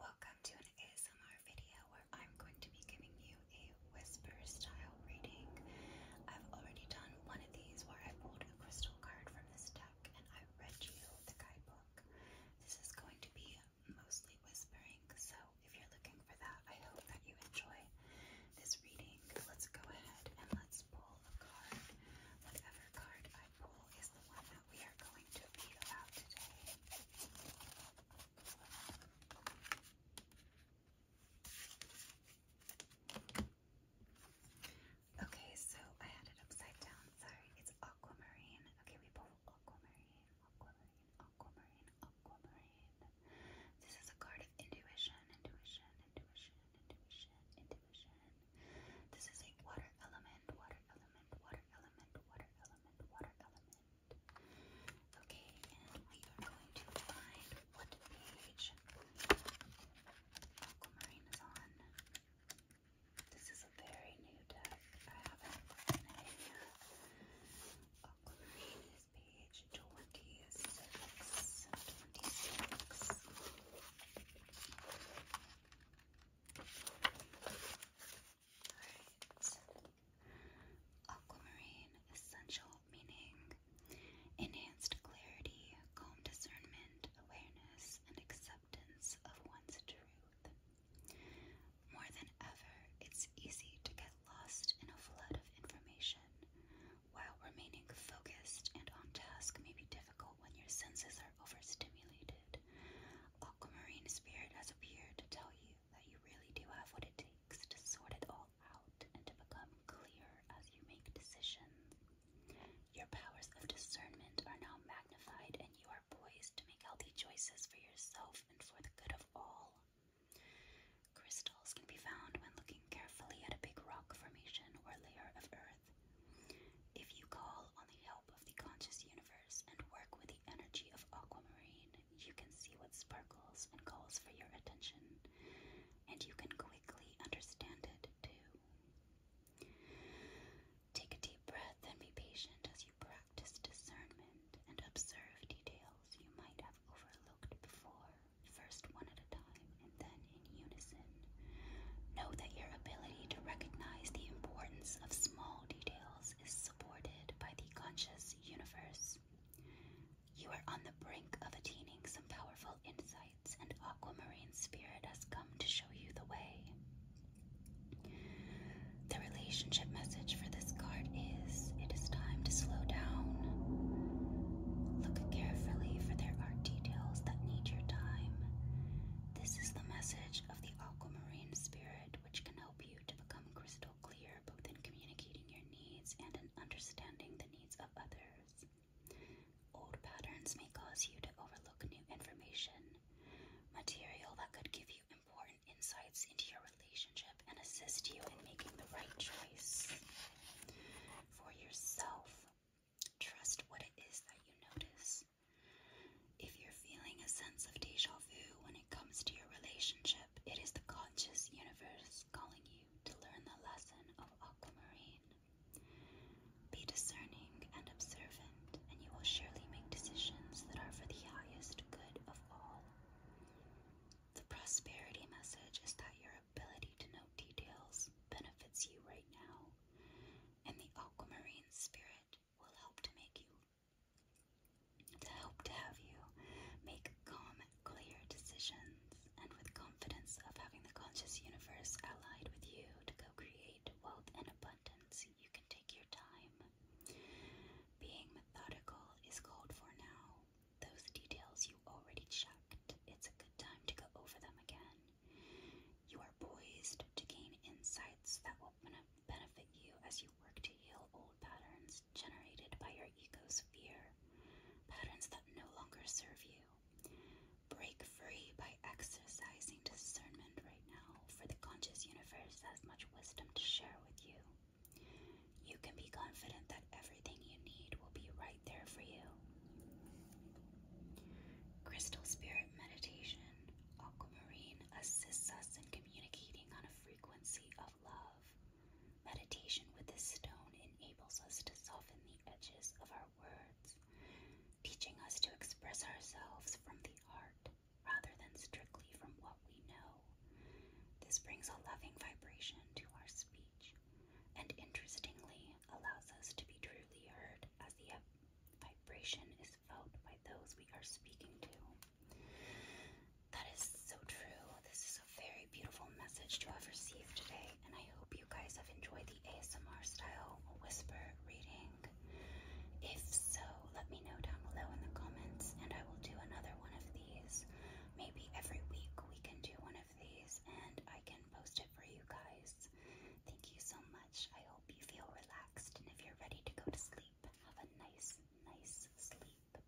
Welcome to an ASMR video where I'm going to be giving you a whisper style reading. I've already done one of these where I pulled a crystal card from this deck and I read you the guidebook. This is going to be mostly whispering, so if you're looking for that, I hope that you enjoy this reading. Let's go ahead and let's pull a card. Whatever card I pull is the one Okay, so I had it upside down. Sorry, it's aquamarine. Okay, we pull aquamarine, aquamarine, aquamarine, aquamarine. This is a card of intuition, intuition, intuition, intuition, intuition. This is a water element, water element, water element, water element, water element. Okay, and we are going to find what page Aquamarine is on. This is a very new deck. I haven't written it yet. Aquamarine is page 26. 26. Aquamarine essential meaning enhanced clarity, calm discernment, awareness, and acceptance of one's truth. More than ever, it's easy to get lost in a flood of information while remaining focused and on task may be difficult when your senses are overstimulated, Aquamarine Spirit has appeared to tell you that you really do have what it takes to sort it all out and to become clear as you make decisions. Your powers of discernment are now magnified, and you are poised to make healthy choices for yourself and for the good of all. Chris can be found when looking carefully at a big rock formation or layer of earth. If you call on the help of the conscious universe and work with the energy of aquamarine, you can see what sparkles and calls for your attention, and you can quickly understand it too. Take a deep breath and be patient as you practice discernment and observe details you might have overlooked before first one at a time and then in unison. Know that your ability to recognize the importance of small details is supported by the conscious universe. You are on the brink of attaining some powerful insights, and Aquamarine Spirit has come to show you the way. The relationship message for this card is it is time to slow down. Look carefully, for there are details that need your time. This is the message of the aquamarine spirit, which can help you to become crystal clear both in communicating your needs and in understanding the needs of others. Old patterns may cause you to overlook new information, material that could give you important insights into your relationship and assist you in making the right choice for yourself. Trust what it is that you notice. If you're feeling a sense of deja vu when it comes to your relationship, it is the conscious universe calling you to learn the lesson of aquamarine. Be discerning and observant, and you will surely make decisions that are for the highest good of all. The prosperity message is that your ability to know details benefits you right now, and the aquamarine spirit will help to make you to help to have you make calm, clear decisions, and with confidence of having the conscious universe allied with you to co create wealth and abundance, you can take your time. Being methodical is called for now, those details you already checked, it's a good time to go over them again. You are poised to gain insights that will benefit you as you work to heal old patterns generated by your ego's fear, patterns that no longer serve you. Break free by exercising discernment right now, for the conscious universe has much wisdom to share with you. You can be confident that everything you need will be right there for you. Crystal Spirit Meditation Aquamarine assists us in communicating on a frequency of love. Meditation with this stone enables us to soften the edges of our words, teaching us to express ourselves from the heart rather than strictly from what we know. This brings a loving vibration to our speech and, interestingly, allows us to be truly heard as the vibration is felt by those we are speaking to. That is so true. This is a very beautiful message to have received today, and I hope you guys have enjoyed the ASMR style whisper reading. If so, let me know down below in the comments and I will do another one of these. Maybe every week we can do one of these and I can post it for you guys. Thank you so much. I hope you feel relaxed and if you're ready to go to sleep, have a nice, nice sleep.